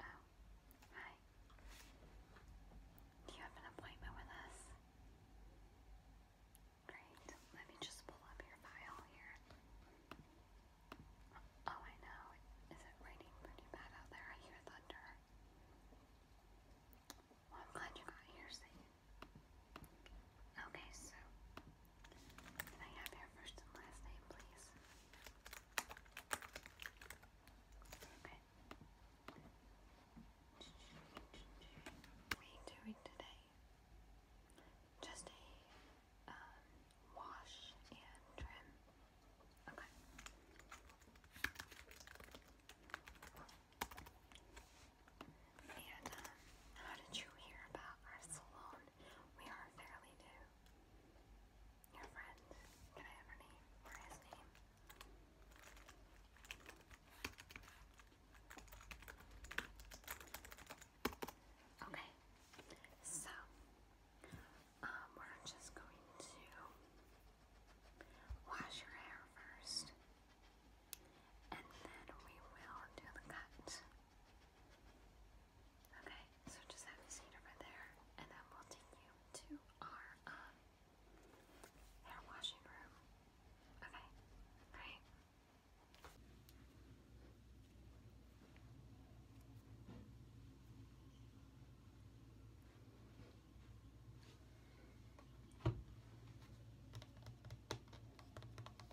Oh, hi. You have an appointment with us? Great. Let me just pull up your file here. Oh, I know. Is it raining pretty bad out there? I hear thunder. Well, I'm glad you got here safe. Okay, so can I have your first and last name, please? Okay. We doing today just a um, wash and trim. Okay. And um, how did you hear about our salon? We are fairly new. Your friend. Can I have her name? Or his name? Okay. So, um, we're just going to wash your hair first. And then we will do the cut. Okay, so just have a seat over there, and then we'll take you to our um, hair washing room. Okay, great.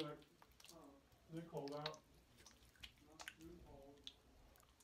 But uh, they called out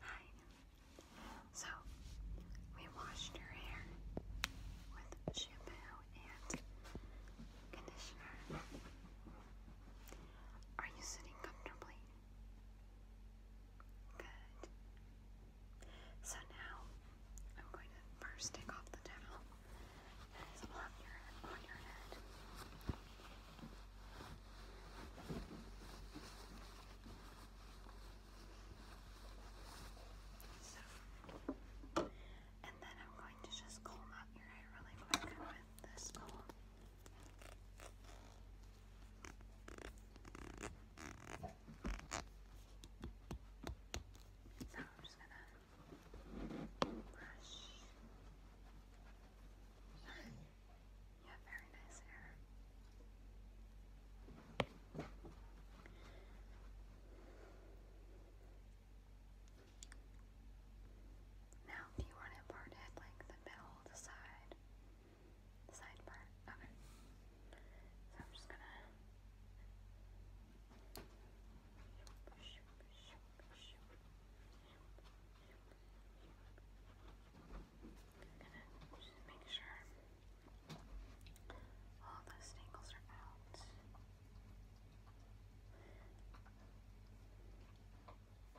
Hi. So, we washed her hair with shampoo and conditioner. Are you sitting comfortably? Good. So now I'm going to first take off the towel that is on your head. and then I'm going to just comb out your hair really quick with this comb. So I'm just gonna brush. You have very nice hair. Now you want it parted like the middle, the side, side part. Okay. So I'm just gonna just make sure all the staples are out.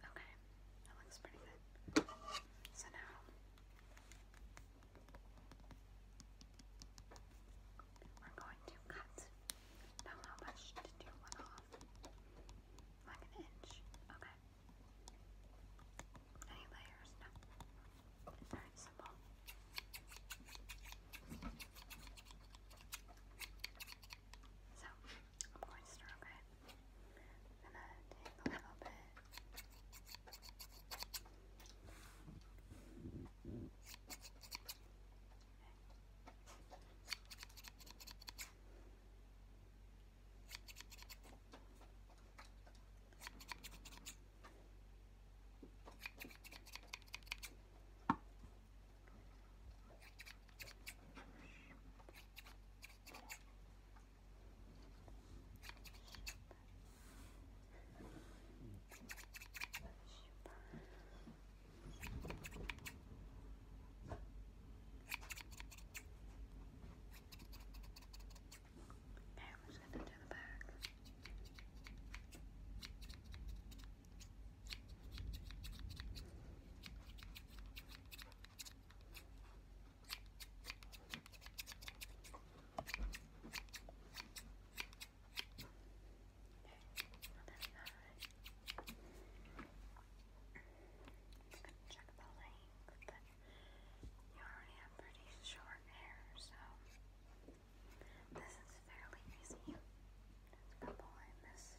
Okay, that looks pretty good. So now we're going to cut. Now, how much did you want off? Like an inch? Okay. Any layers? No. Very simple. So, I'm going to start, okay? I'm gonna take a little bit. Okay, I'm just going to do the back. Okay going check the length, you already have pretty short hair, so this is fairly easy. couple I missed.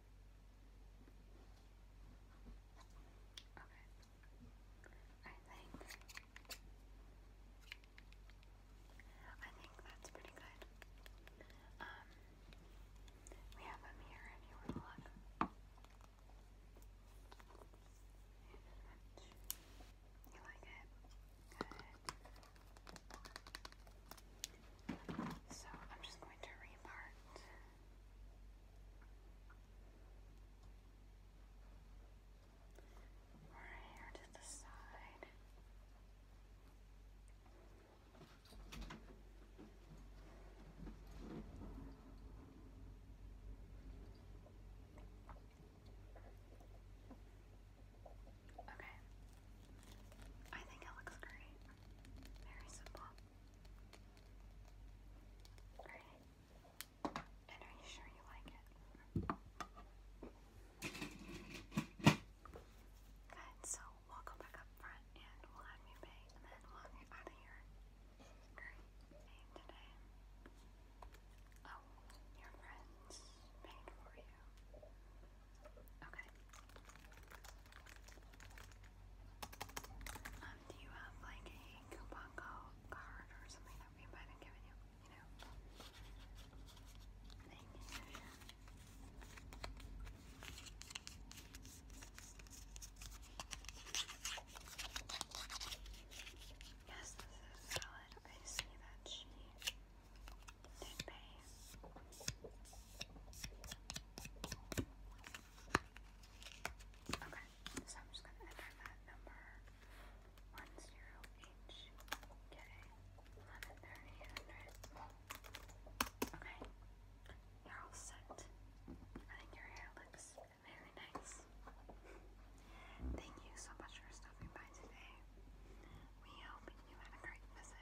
I think I think that's pretty good. Um we have a mirror you want to look. You like it? Good. So I'm just going to repart or here to the side. Okay. I think it looks great. Very simple. Great. And are you sure you like it? Good, so we back up front and we'll have you pay, and then we out of here. Great. Name today. Oh, your friends paid for you. Okay. Um, do you have like a coupon card or something that we might have given you? You know? Thank you. Yes, this is valid. I see that she did pay. Okay, so I'm just gonna enter that number one zero H K eleven thirty hundred. Okay, you're all set. I think your hair looks very nice. Thank you so much for stopping by today. We hope you had a great visit.